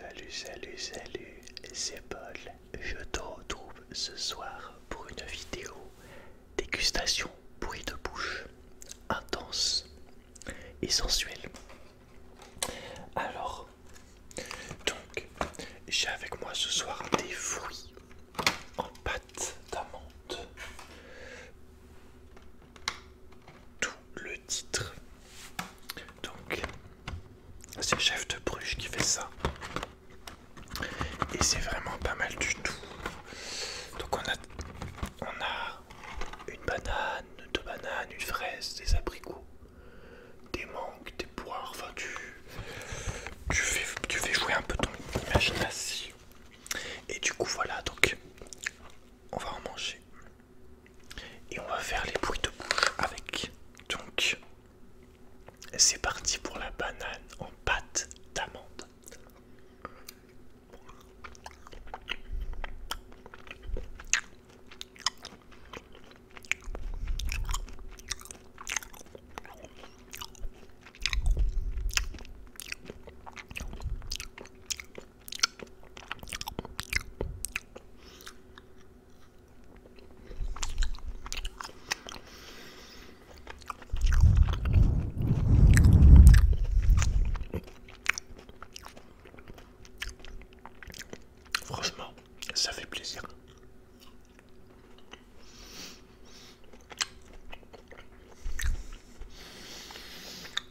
Salut, salut, salut, c'est Paul. Je te retrouve ce soir pour une vidéo dégustation bruit de bouche intense et sensuelle. Alors, donc, j'ai avec moi ce soir des fruits en pâte d'amande. Tout le titre. Donc, c'est Chef de Bruges qui fait ça. Et c'est vraiment pas mal du tout. Donc, on a, on a une banane, deux bananes, une fraise, des abricots, des mangues, des poires. Enfin, tu, tu, fais, tu fais jouer un peu ton imagination. Et du coup, voilà, donc on va en manger et on va faire les bruits de bouche avec. Donc, c'est parti pour la banane en pâte d'amande. Franchement, ça fait plaisir.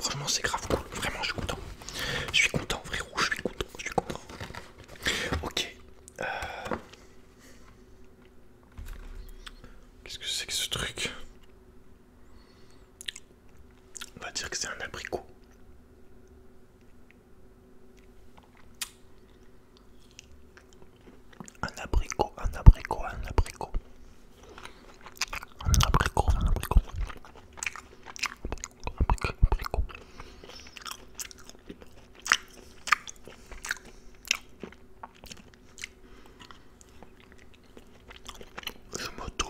Franchement c'est grave cool, vraiment je suis content. Je suis content frérot, je suis content, je suis content. Ok. Euh, Qu'est-ce que c'est que ce truc On va dire que c'est un abricot. Un abricot, un abricot, un abricot. Un abricot, un abricot. Un abricot, abricot. Je m'auto.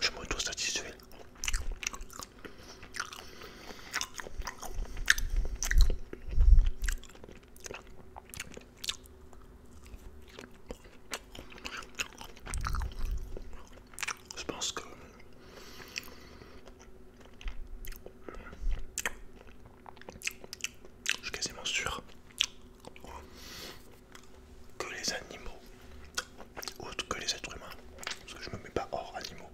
Je m'auto-satisfais. Je pense que je suis quasiment sûr que les animaux, autres que les êtres humains, parce que je me mets pas hors animaux,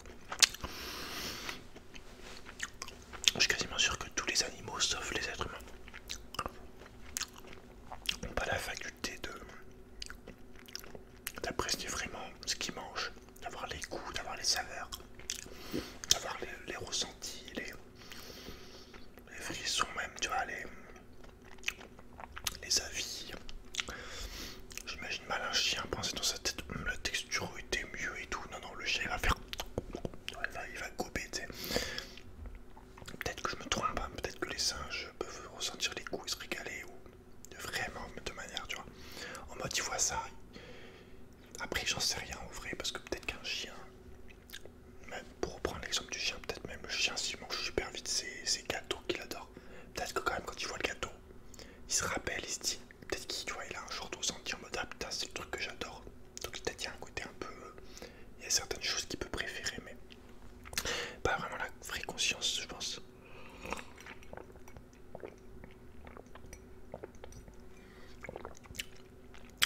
je suis quasiment sûr que tous les animaux, sauf les êtres humains, n'ont pas la faculté de d'apprécier vraiment ce qu'ils mangent, d'avoir les goûts, d'avoir les saveurs, d'avoir les, les les, frissons même, tu vois, les, les avis. J'imagine mal un chien penser dans sa tête, hum, la texture était mieux et tout. Non, non, le chien va faire... Il va, gober, tu sais. Peut-être que je me trompe, hein, peut-être que les singes peuvent ressentir les coups et se régaler ou vraiment de manière, tu vois. En mode, ils voient ça, après, j'en sais rien en vrai, parce que peut-être qu'un chien, même pour reprendre l'exemple du chien, peut-être même le chien, s'il mange super vite ses gâteaux qu'il adore, peut-être que quand même, quand il voit le gâteau, il se rappelle, il se dit, peut-être qu'il il a un jour senti en mode ah putain, c'est le truc que j'adore. Donc, peut-être qu'il y a un côté un peu. Il y a certaines choses qu'il peut préférer, mais pas vraiment la vraie conscience, je pense.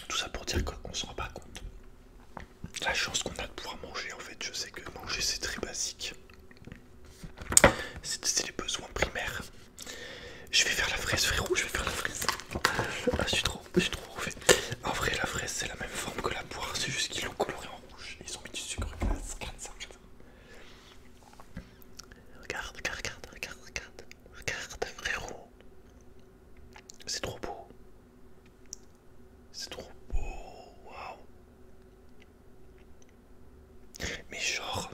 Tout ça pour dire qu'on se rend pas compte. La chance qu'on a de pouvoir manger en fait, je sais que manger c'est très basique. C'est les besoins primaires. Je vais faire la fraise frérot, je vais faire la fraise. Ah, je suis trop, je trop En vrai la fraise c'est la même forme que la poire, c'est juste qu'ils l'ont colorée en rouge. Ils ont mis du sucre ça, regarde. Regarde, regarde, regarde, regarde. Regarde frérot. C'est trop beau. C'est trop beau. Waouh. Mais genre...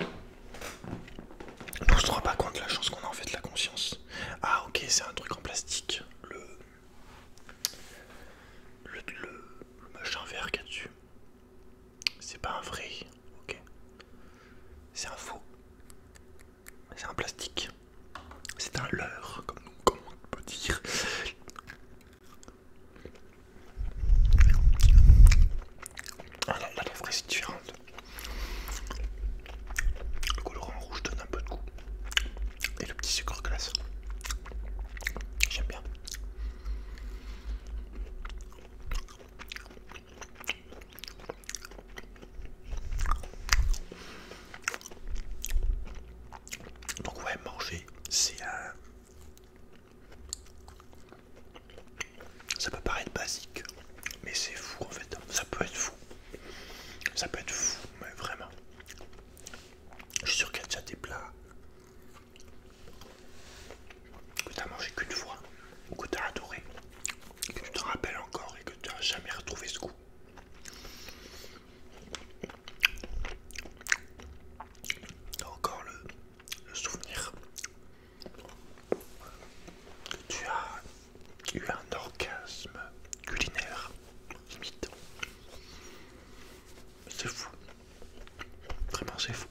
Nous on se rend pas compte de la chance qu'on a en fait de la conscience. Ah ok c'est un truc en plastique. Le... Le, le, machin vert qu'il y a dessus. C'est pas un vrai, ok. C'est un faux. C'est un plastique. C'est un leurre, comme, on peut dire. Ah, là, là, la vraie c'est différente. Le colorant rouge donne un peu de goût. Et le petit sucre glace. J'aime bien. Donc ouais, manger, c'est un... Ça peut paraître basique, mais c'est fou en fait. Ça peut être fou. Ça peut être fou, mais vraiment. Je suis sûr qu'il y a déjà des plats que tu mangé qu'une fois, que tu as adoré, que tu te rappelles encore et que tu n'as jamais retrouvé ce goût. Tu encore le, le souvenir que tu as eu un orgasme culinaire limite. C'est fou. Vraiment, c'est fou.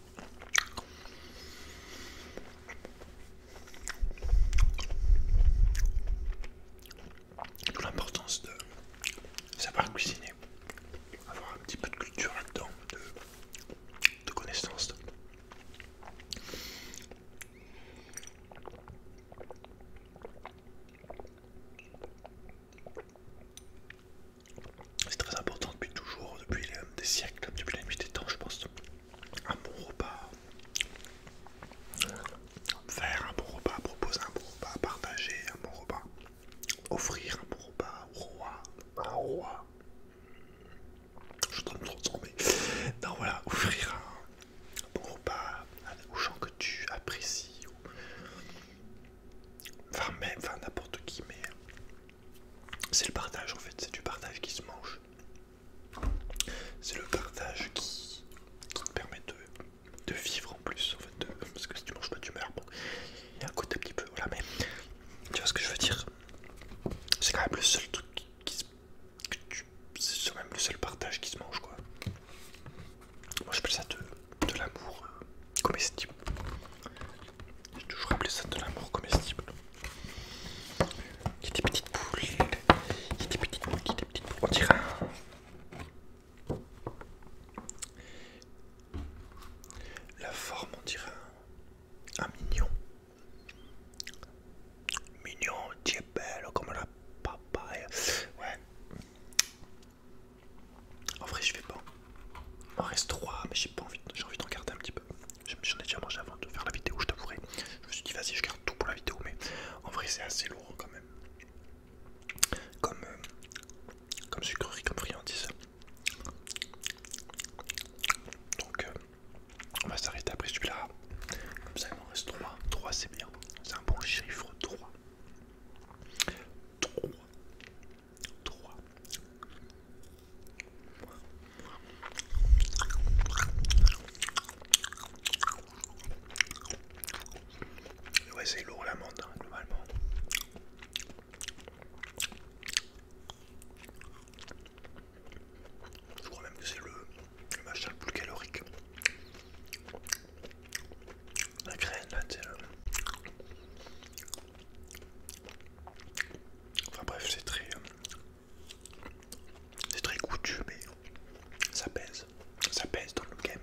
L'importance de savoir cuisiner, avoir un petit peu de culture là-dedans, de, connaissance. C'est très important depuis toujours, depuis des siècles, depuis la nuit des temps, je pense. Un bon repas, faire un bon repas, proposer un bon repas, partager un bon repas, offrir un bon repas au roi, un roi. Je en train de me transformer. non, voilà, offrir un bon repas aux gens que tu apprécies, Enfin, même, enfin, n'importe qui, mais c'est le partage en fait, c'est du partage qui se mange. C'est le partage qui, te permet de, vivre en plus, en fait, parce que si tu manges pas, tu meurs. il y a un côté un petit peu, voilà, mais tu vois ce que je veux dire. C'est quand même le seul truc qui, se. même le seul partage qui se mange, quoi. Moi, je peux ça de, l'amour. Euh, comestible. J'ai toujours appelé ça de l'amour comestible. Il y a des petites boules, il y a des petites boules, il y On dirait La forme, on dirait un, mignon. Mignon, tu es belle comme la papaye. Ouais. En vrai, je vais pas. Il m'en reste 3, mais j'ai pas envie, j'ai envie d'en garder un petit peu. J'en ai déjà mangé avant de faire la vidéo, je t'avouerai. Je me suis dit, vas-y, je garde tout pour la vidéo, mais en vrai, c'est assez lourd hein, quand même. Comme, euh, comme sucrerie, comme friandise. Donc, euh, on va s'arrêter après celui-là. Comme ça, il m'en reste 3. 3, c'est bien. C'est un bon chiffre 3. 3. 3. Ouais, c'est lourd la hein, globalement. Je crois même que c'est le, le machin le plus calorique la graine là, tu Enfin bref, c'est très. Euh, c'est très goûtu, mais ça pèse. Ça pèse dans le game.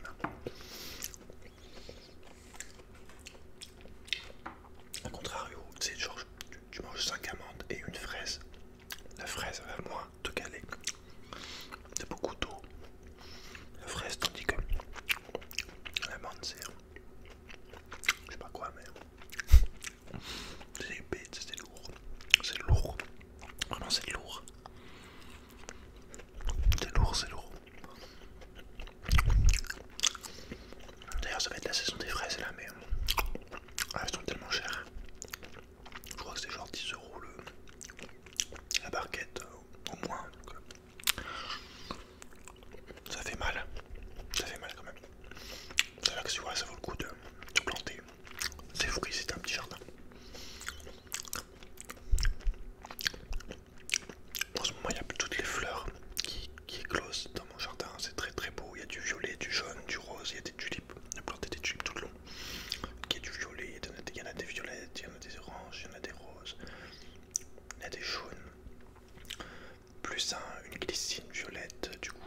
A contrario, tu sais, tu, manges 5 amandes et une fraise. La fraise va moins te caler. c'est beaucoup d'eau, la fraise, tandis que la l'amande, c'est. Je sais pas quoi, mais. C'est épais, c'est lourd. C'est lourd. Vraiment, c'est lourd. C'est lourd, c'est lourd. D'ailleurs, ça va être la saison des fraises là, mais ah, elles sont tellement chères. Je crois que c'est genre 10 euros le, la barquette, euh, au moins. Euh, ça fait mal, ça fait mal quand même. C'est vrai que tu vois, ça vaut le coup de, planter, planter fou fruits, c'est un petit jardin. En ce moment, il y a toutes les fleurs qui, qui éclosent dans mon jardin. C'est très très beau. Il y a du violet, du jaune, du rose. Il y a des tulipes. j'ai a planté des tulipes tout le long. Il y a du violet, il y en a des violettes, il y en a des oranges, il y en a des roses, il y en a des jaunes, plus une glycine violette, du coup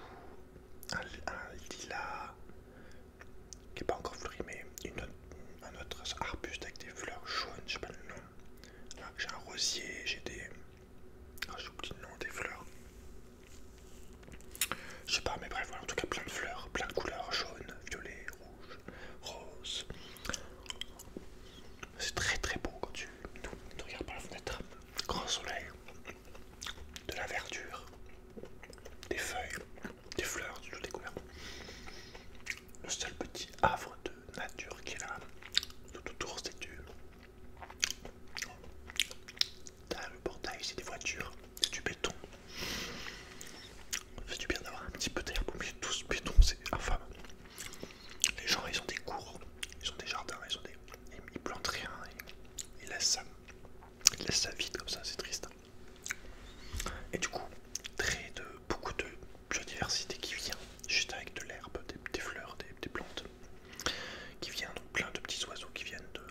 un, lila lilas qui n'est pas encore fleuri, mais un autre arbuste avec des fleurs jaunes, je sais pas le nom. J'ai un rosier, j'ai des. Ah, j'ai oublié le nom des fleurs. Je sais pas, mais bref, en tout cas plein de fleurs, plein de couleurs, jaune, violet, rose. C'est très très beau quand tu, regardes par la fenêtre. Grand soleil, de la verdure, des feuilles, des fleurs du tout les Le seul petit havre de nature qui est là, tout autour c'est du... T'as le portail, c'est des voitures c'est du béton. Ça fait du bien d'avoir un petit peu d'air mais tout ce béton, c'est Enfin, Les gens, ils ont des cours, ils ont des jardins, ils ont des... Ils plantent rien, ils, laissent, ça, vide comme ça, c'est triste. Et du coup, très de, beaucoup de biodiversité qui vient juste avec de l'herbe, des, fleurs, des, plantes, qui viennent, donc plein de petits oiseaux qui viennent de...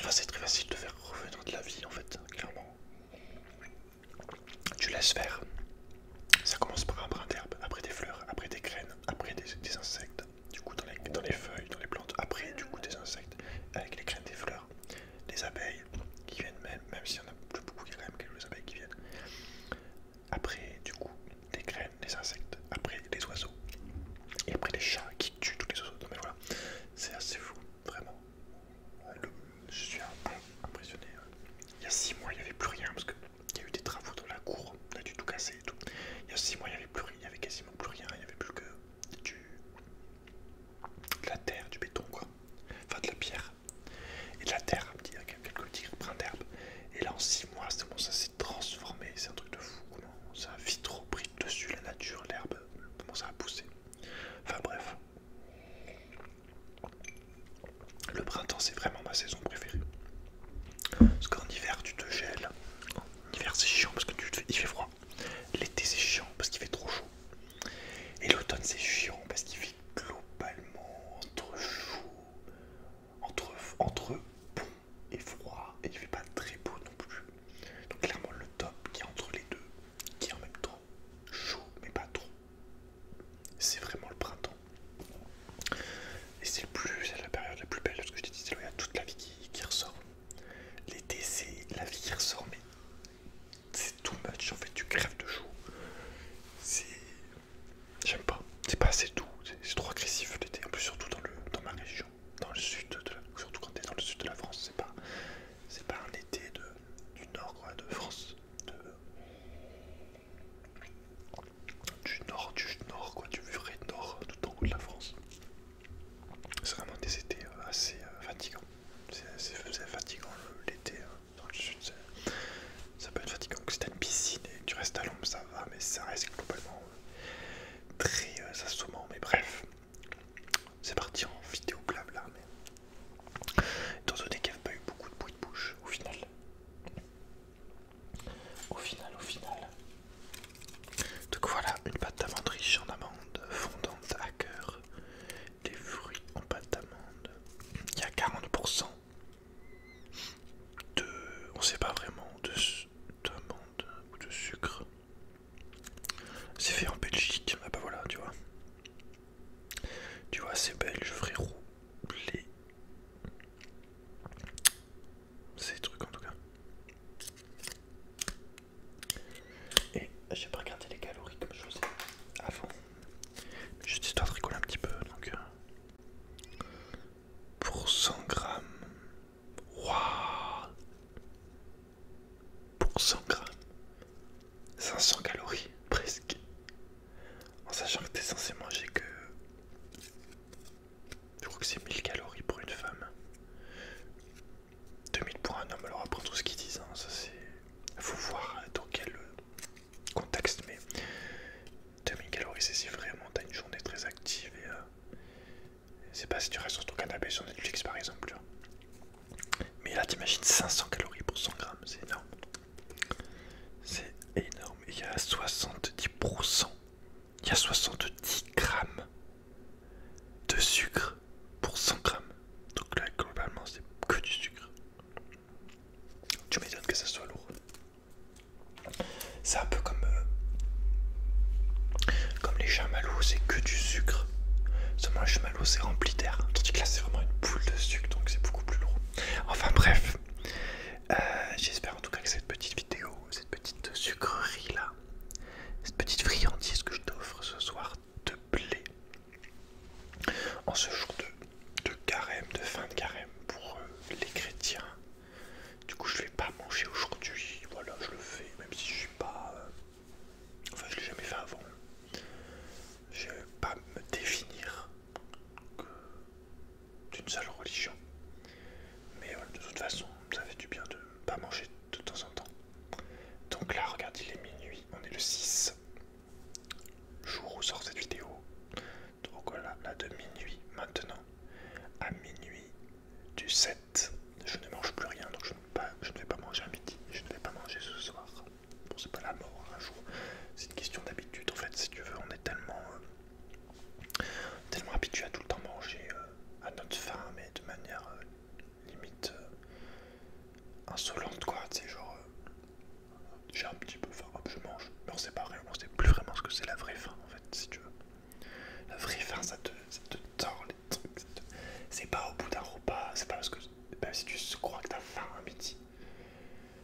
Enfin, c'est très facile de faire revenir de la vie en fait, clairement. Tu laisses faire. Ça commence par un brin d'herbe, après des fleurs, après des graines, après des, insectes, du coup dans les, dans les feuilles, dans les plantes, après du coup des insectes, avec les graines des fleurs, les abeilles qui viennent même, même s'il y en a plus beaucoup, il y a quand même quelques abeilles qui viennent. Après du coup des graines, des insectes, après les oiseaux, et après les chats qui tuent tous les oiseaux. donc voilà, c'est assez fou, vraiment. Euh, je suis impressionné. Euh. Il y a 6 mois, il n'y avait plus rien parce qu'il y a eu des travaux dans la cour, on a dû tout casser et tout. Il y a 6 mois, il n'y avait plus rien, il n'y avait quasiment plus rien, il n'y avait plus que du... la terre, du béton quoi, enfin de la pierre et de la terre, un quelques petits brins d'herbe. Et là en six mois, c'est bon, ça transformé, c'est un truc de fou, comment ça vit trop repris dessus la nature, l'herbe, comment ça a poussé. Enfin bref. Le printemps c'est vraiment ma saison préférée. Parce qu'en hiver tu te gèles. En hiver c'est chiant parce que tu il fait froid. L'été c'est chiant parce qu'il fait trop chaud. Et l'automne c'est chiant parce qu'il fait globalement entre chaud, entre, entre et froid et il fait pas très beau non plus. Donc clairement le top qui est entre les deux, qui est en même temps chaud mais pas trop. C'est vraiment le printemps. Et c'est le plus, la période la plus belle, parce que je t'ai dit, il y a toute la vie qui, ressort. L'été, c'est la vie qui ressort, mais c'est too match en fait, tu crèves de chaud. C'est J'aime pas. C'est pas assez doux, c'est trop agressif l'été. En plus, surtout dans, le, ma région, dans le sud, de la, surtout quand t'es dans le sud de la France, c'est pas, c'est pas un été de, du nord quoi, de France. du nord, du nord, quoi, du vrai nord, tout en haut de la France. C'est vraiment des étés euh, assez euh, fatigants. C'est fatigant l'été hein. dans le sud. Ça peut être fatigant. Si t'as une piscine et tu restes à l'ombre, ça ça mais ça reste globalement très euh, assommant. Mais bref, c'est parti en vidéo blabla. Mais... Étant donné qu'il n'y pas eu beaucoup de bruit de bouche, au final, au final, au final. Donc voilà, une pâte d'amande riche en amandes fondante à cœur, des fruits en pâte d'amande. Il y a 40% de... on sait pas vraiment, de d'amande ou de sucre. C'est fait en Belgique, ah bah voilà, tu vois. Tu vois, c'est belge, frérot. Les... Ces trucs en tout cas. Et j'ai pas regardé les calories comme je faisais avant. Juste histoire de rigoler un petit peu, donc... Euh pour 100 grammes. Waouh Pour 100 grammes. 500 calories, presque. En sachant que t'es censé manger que... Je crois que c'est 1000 calories pour une femme. 2000 pour un homme, alors après tout ce qu'ils disent, hein, ça c'est... Faut voir dans quel contexte, mais 2000 calories, c'est si vraiment t'as une journée très active et. Euh, c'est pas si tu restes sur ton canapé sur Netflix par exemple. Mais là, t'imagines 500 calories pour 100 grammes, c'est énorme. C'est énorme. Et Il y a 70%, il y a 70 grammes de sucre pour 100 grammes. Donc là, globalement, c'est que du sucre. Tu m'étonnes que ça soit lourd. C'est un peu comme, euh, comme les chamallows, c'est que du sucre. Seulement, le chamallow, c'est rempli d'air. Tandis que là, c'est vraiment une boule de sucre, donc c'est beaucoup plus lourd. Enfin, bref. Euh, j'espère en tout cas que cette petite vidéo, cette petite sucrerie là, cette petite friandise que je t'offre ce soir te plaît. En ce jour de de carême, de fin de carême pour euh, les chrétiens. Du coup, je vais pas manger aujourd'hui. Voilà, je le fais, même si je suis pas. Euh, enfin, je l'ai jamais fait avant. Je vais pas me définir d'une seule religion. Mais euh, de toute façon, ça fait du bien de pas manger de temps en temps. Donc là, regardez, il est minuit, on est le 6, jour où sort cette vidéo donc voilà, là de minuit maintenant à minuit du 7, je ne mange plus rien, donc je ne, je ne vais pas manger à midi, je ne vais pas manger ce soir. Bon, c'est pas la mort un hein, jour, c'est une question d'habitude en fait, si tu veux, on est tellement, euh, tellement habitué à tout le temps manger euh, à notre faim, mais de manière euh, limite insolente quoi, c'est genre j'ai un petit peu faim, hop je mange, mais on sait pas on sait plus vraiment ce que c'est la vraie faim en fait si tu veux. La vraie faim ça te, te tord les trucs, c'est pas au bout d'un repas, c'est pas parce que même si tu crois que t'as faim un midi,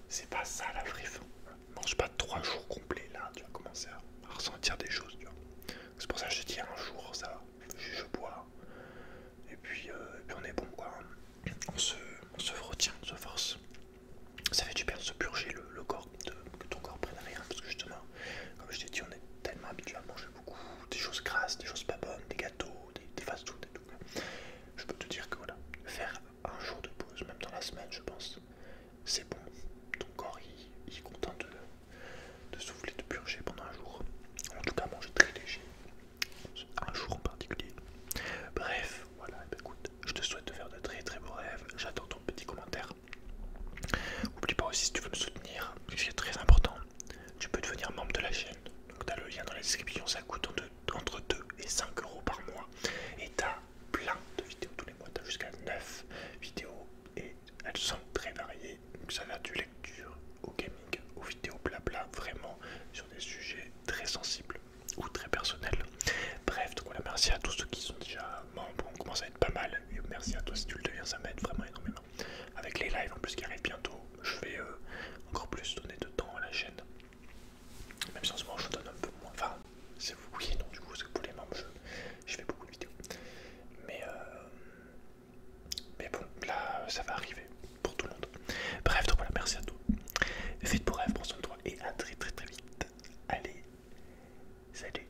c'est pas ça la vraie faim. Mange pas trois jours complets là, tu vas commencer à, ressentir des choses, tu vois. C'est pour ça que je dis un jour ça, je, je bois, euh, et puis, on est bon quoi on se, retient, on se force. Ça fait du bien de se purger le, corps, que ton corps prenne rien, parce que justement, comme je t'ai dit, on est tellement habitué à manger beaucoup, des choses grasses, des choses pas bonnes, des gâteaux, des, fast-food et tout. Je peux te dire que voilà, faire un jour de pause, même dans la semaine, je pense, c'est bon. Ton corps, est content de, de souffler, de purger pendant un jour. En tout cas, manger très léger, un jour en particulier. Bref, voilà, eh ben, écoute, je te souhaite de faire de très très beaux rêves, j'attends ton petit commentaire. N'oublie pas aussi si tu veux me soutenir, ce qui est très important, tu peux devenir membre de la chaîne. Donc t'as le lien dans la description, ça coûte entre 2 et 5 euros par mois. Et t'as plein de vidéos tous les mois, t'as jusqu'à 9 vidéos et elles sont très variées. Donc ça va du lecture au gaming, aux vidéos blabla, vraiment sur des sujets très sensibles ou très personnels. Bref, donc voilà, merci à tous ceux qui sont déjà membres, on commence à être pas mal. Et merci à toi si tu le deviens, ça m'aide vraiment énormément. Avec les lives en plus qui arrivent bientôt, je vais euh, encore plus donner de temps à la chaîne. Même si en ce moment je donne un peu moins. Enfin, c'est vous oui êtes non du coup, que pour les membres, je, fais beaucoup de vidéos. Mais, euh, mais bon, là, ça va arriver pour tout le monde. Bref, donc voilà, merci à tous Vite pour rêve, prends soin de toi et à très très très vite. Allez, salut.